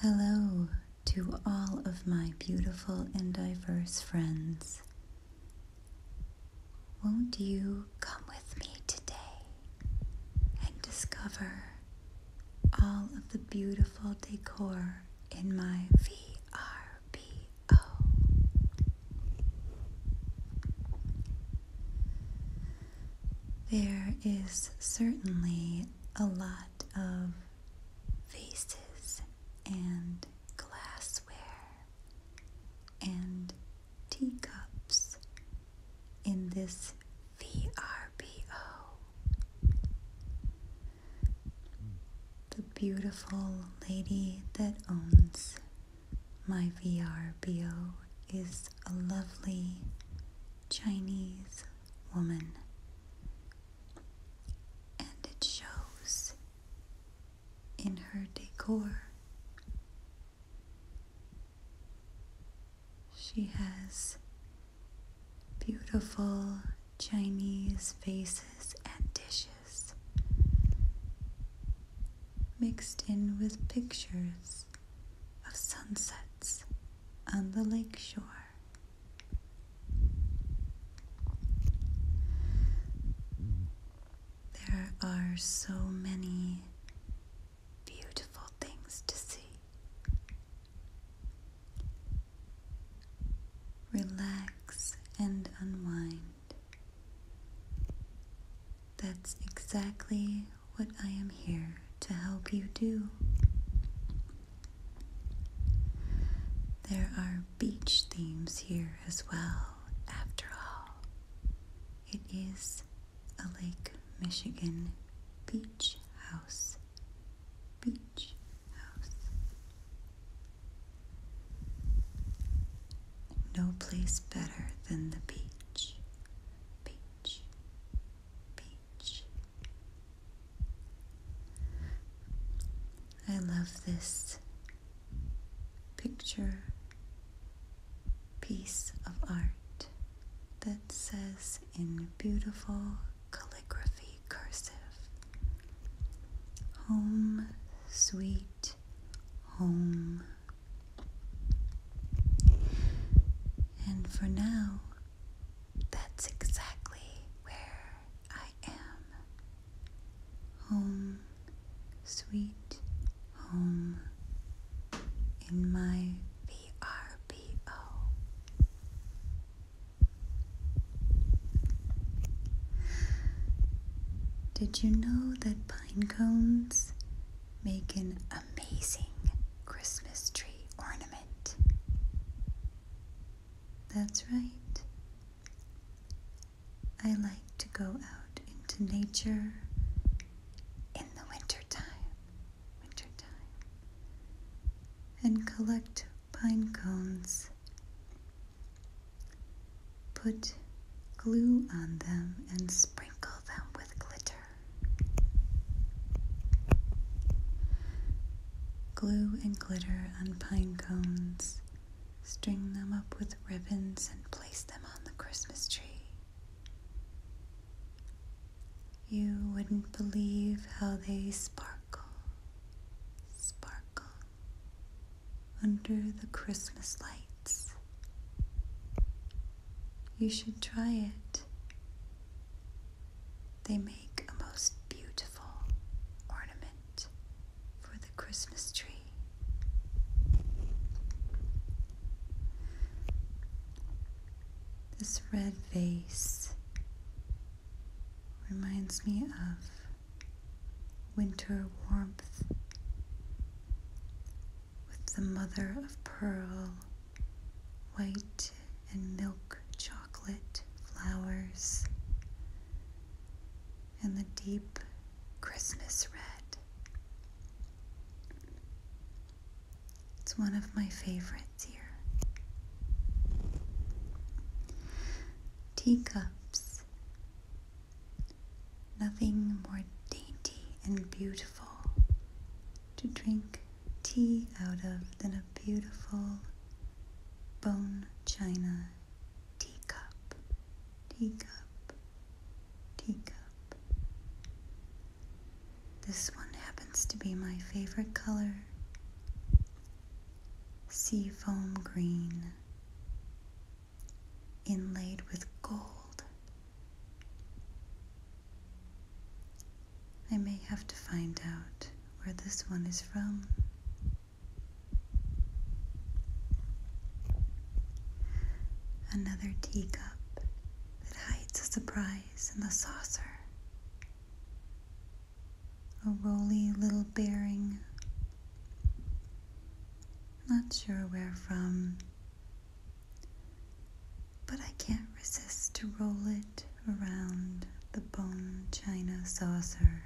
Hello to all of my beautiful and diverse friends. Won't you come with me today and discover all of the beautiful decor in my VRBO? There is certainly a lot of vases and glassware and teacups in this VRBO. The beautiful lady that owns my VRBO is a lovely Chinese woman, and it shows in her decor. She has beautiful Chinese vases and dishes mixed in with pictures of sunsets on the lakeshore. There are so many beautiful things to see. Relax and unwind. That's exactly what I am here to help you do. There are beach themes here as well, after all. It is a Lake Michigan beach house. Beach house. No place better than the beach. Beach. I love this picture piece of art that says in beautiful calligraphy cursive Home, sweet home, and for now, that's exactly where I am. Home, sweet home, in my VRBO. Did you know that pine cones make an amazing Christmas tree ornament. That's right. I like to go out into nature in the wintertime, wintertime, and collect pine cones, put glue on them, and sprinkle them with glitter. Glue and glitter on pine cones. String them up with ribbons and place them on the Christmas tree. You wouldn't believe how they sparkle, sparkle under the Christmas lights. You should try it. They make a most beautiful ornament for the Christmas tree. This red vase reminds me of winter warmth with the mother of pearl, white and milk chocolate flowers, and the deep Christmas red. It's one of my favorites here. Teacups Nothing more dainty and beautiful to drink tea out of than a beautiful bone china teacup, teacup, teacup. This one happens to be my favorite color sea foam green inlaid with gold. I may have to find out where this one is from. Another teacup that hides a surprise in the saucer. A roly little bearing. Not sure where from, but I can't resist to roll it around the bone china saucer.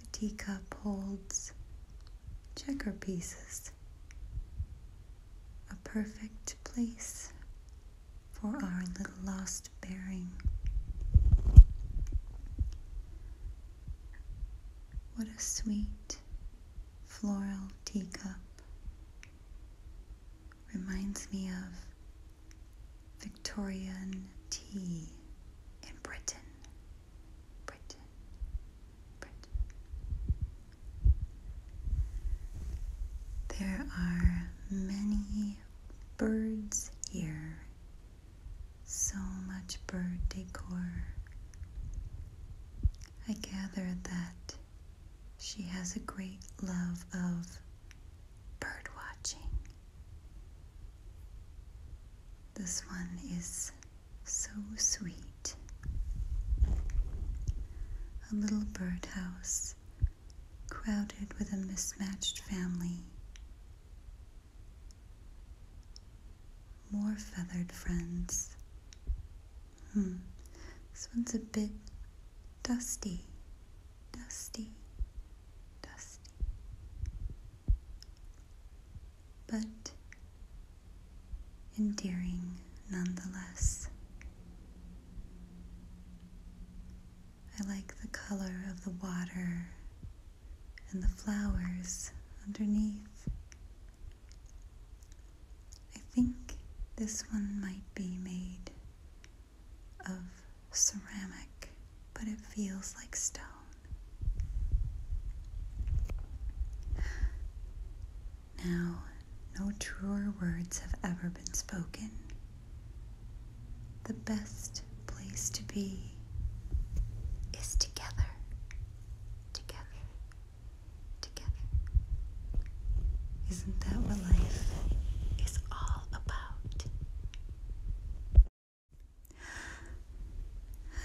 The teacup holds checker pieces, a perfect place for our little lost bearing. What a sweet floral teacup. Reminds me of Victorian tea in Britain. Britain. There are many birds here so much bird decor. I gather that she has a great love of bird watching. This one is so sweet. A little birdhouse crowded with a mismatched family more feathered friends. Hmm, this one's a bit dusty, dusty, dusty. But endearing nonetheless. I like the color of the water and the flowers underneath. I think this one might be made of ceramic, but it feels like stone. Now, no truer words have ever been spoken the best place to be is together, together, together. Isn't that what life is all about?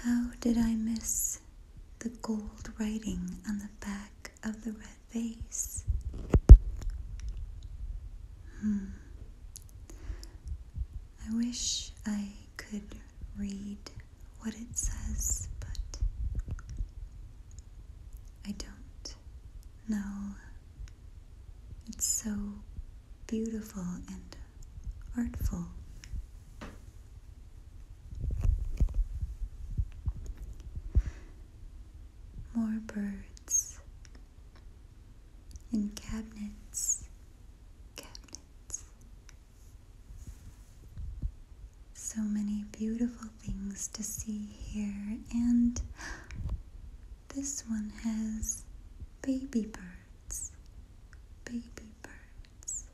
How did I miss the gold writing on the back of the red vase? Hmm. I wish I could read what it says, but I don't know. It's so beautiful and artful. More birds in cabinets, cabinets. So many beautiful things to see here, and this one has baby birds, baby birds,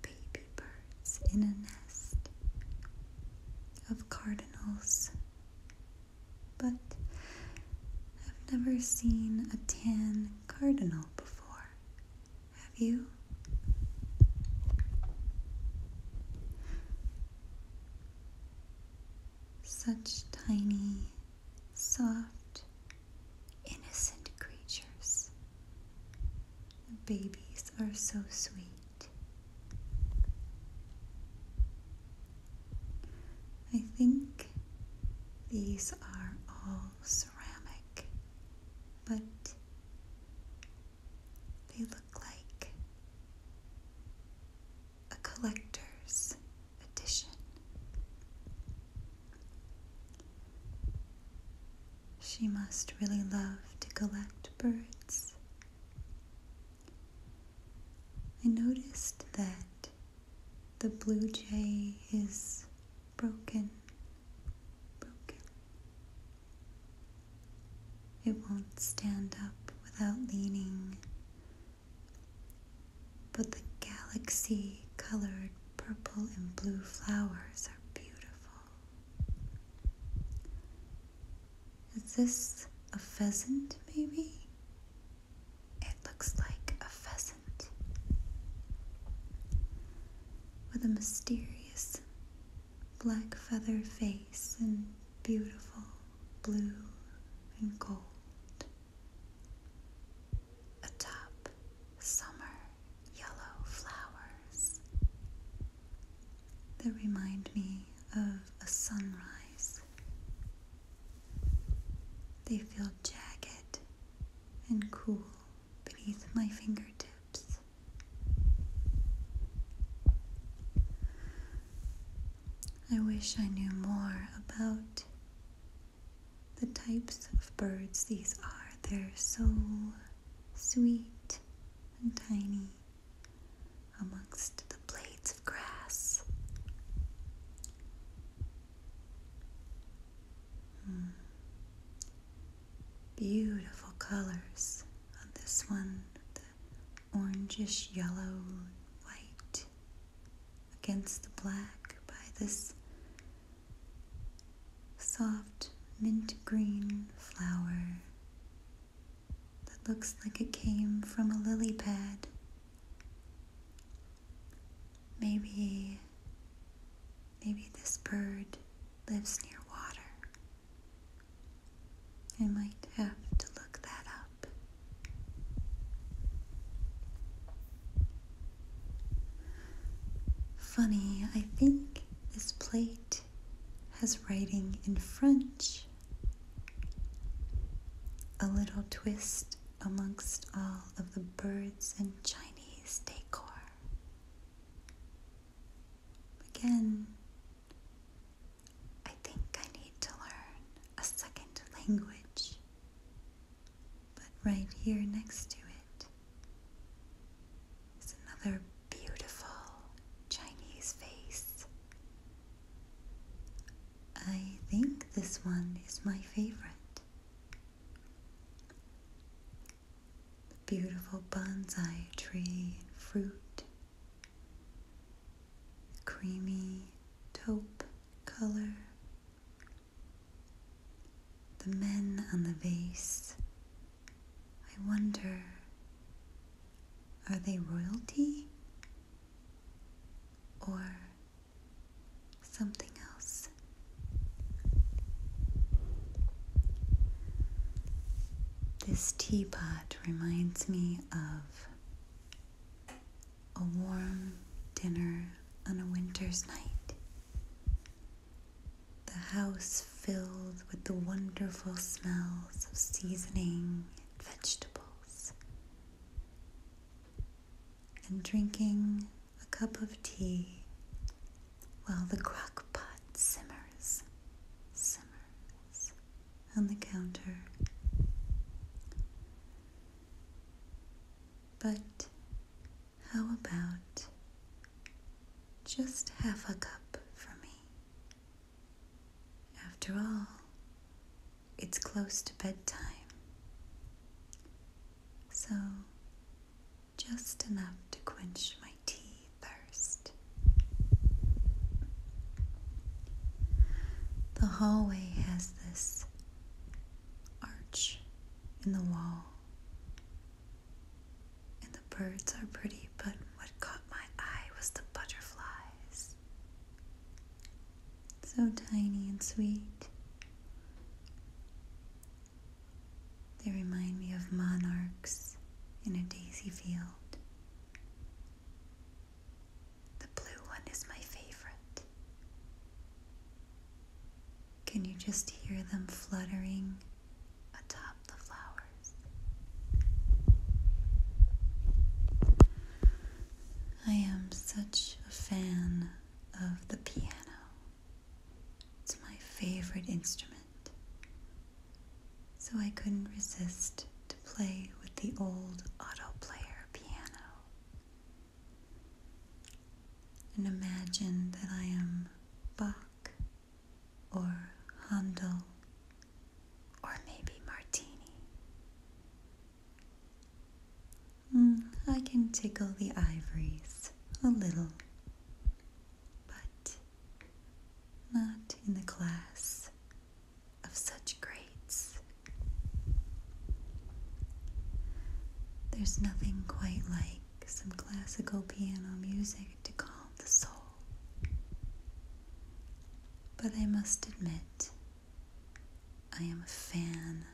baby birds in a nest of cardinals but I've never seen a tan cardinal before. Have you? Such tiny, soft, innocent creatures. Babies are so sweet. I think these are all ceramic, but they look like a collector's edition. She must really love to collect birds. I noticed that the blue jay is broken, broken. It won't stand up without leaning, but the galaxy colored purple and blue flowers are beautiful. Is this a pheasant, maybe? It looks like a pheasant with a mysterious black feather face and beautiful blue and gold. Atop summer yellow flowers that remind me of a sunrise they feel jagged and cool beneath my fingertips. I wish I knew more about the types of birds these are. They're so sweet and tiny amongst the blades of grass. Hmm. Beautiful colors on this one the orangish yellow white against the black by this soft mint green flower that looks like it came from a lily pad. Maybe, maybe this bird lives near water. I might have to look that up. Funny, I think this plate has writing in French. A little twist amongst all of the birds and Chinese decor. Again, I think I need to learn a second language, but right here next to it is another beautiful Chinese face I think this one is my favorite. The beautiful bonsai tree and fruit, creamy taupe color, the men on the vase. I wonder, are they royalty? or something else. This teapot reminds me of a warm dinner on a winter's night. The house filled with the wonderful smells of seasoning and vegetables and drinking a cup of tea while the crock pot simmers, simmers on the counter. But how about just half a cup for me? After all, it's close to bedtime. So, just enough to quench my tea thirst. The hallway has this arch in the wall, and the birds are pretty, but what caught my eye was the butterfly. So tiny and sweet. They remind me of monarchs in a daisy field. The blue one is my favorite. Can you just hear them fluttering atop the flowers? I am such a fan of the piano. It's my favorite instrument. So I couldn't resist to play with the old auto player piano. And imagine that I am Bach or Handel or maybe martini. Mm, I can tickle the ivories a little, but not in the class of such greats. There's nothing quite like some classical piano music to calm the soul. But I must admit, I am a fan,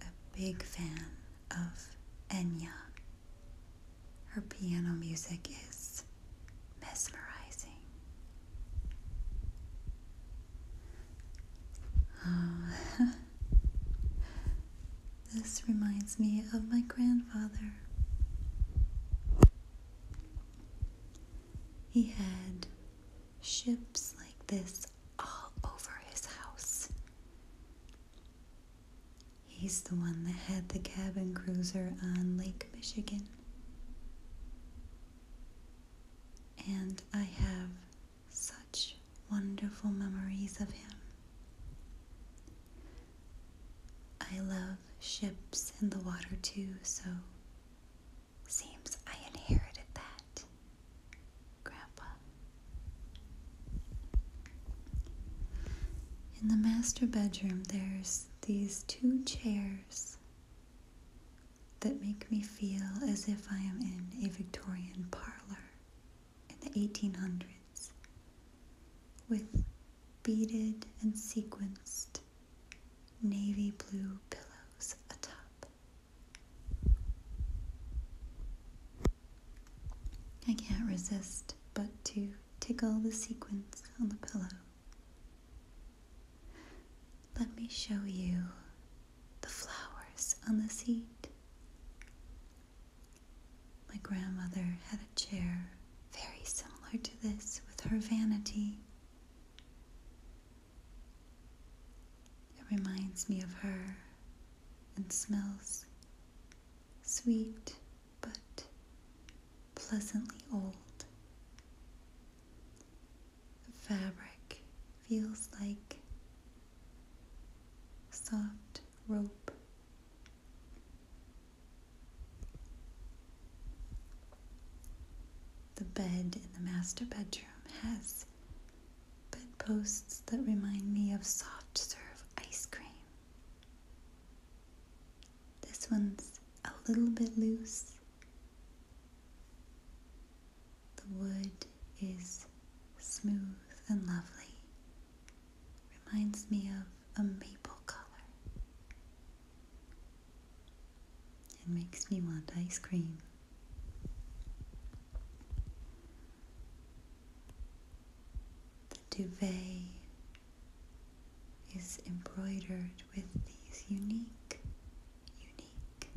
a big fan of Enya. Her piano music is mesmerizing. Oh, this reminds me of my grandfather. He had ships like this all over his house. He's the one that had the cabin cruiser on Lake Michigan. And I have such wonderful memories of him. I love ships in the water too, so seems I inherited that, Grandpa. In the master bedroom, there's these two chairs that make me feel as if I am in a Victorian parlor in the 1800s with beaded and sequenced navy blue pillows atop. I can't resist but to tickle the sequins on the pillow. Let me show you the flowers on the seat. My grandmother had a chair very similar to this with her vanity. It reminds me of her and smells sweet but pleasantly old. The fabric feels like soft rope the bed in the master bedroom has bedposts that remind me of soft serve ice cream. This one's a little bit loose. The wood is smooth and lovely, Reminds me of a maple color. It makes me want ice cream. The duvet is embroidered with these unique, unique,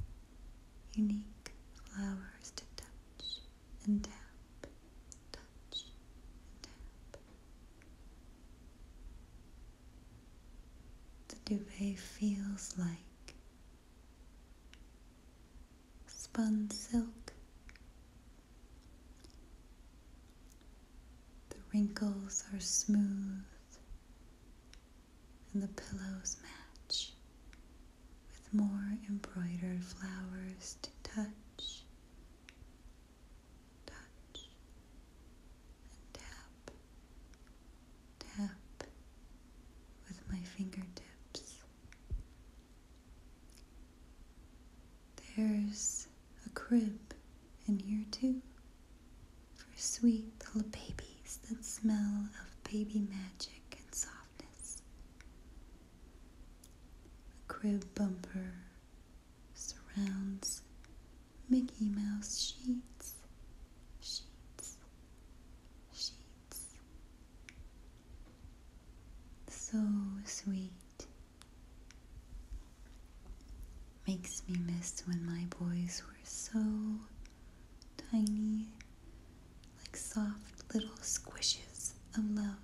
unique flowers to touch and tap, the duvet feels like spun silk. The wrinkles are smooth and the pillows match with more embroidered flowers to touch tap, tap with my fingertips. There's a crib in here too for sweet little babies that smell of baby magic and softness. A crib bumper surrounds Mickey Mouse sheets, sheets, sheets. So sweet. Makes me miss when my boys were so tiny, like soft little squishes of love.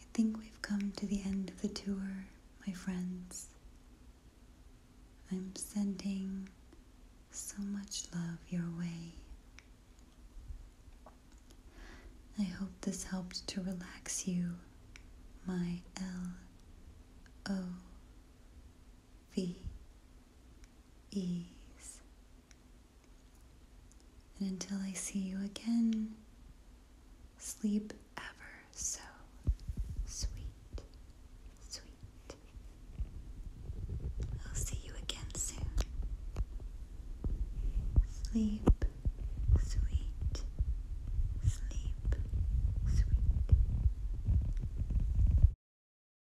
I think we've come to the end of the tour, my friends. I'm sending so much love your way. I hope this helped to relax you, my L O V ease. And until I see you again, sleep ever so sweet, sweet. I'll see you again soon. Sleep. Sweet, sleep, sweet.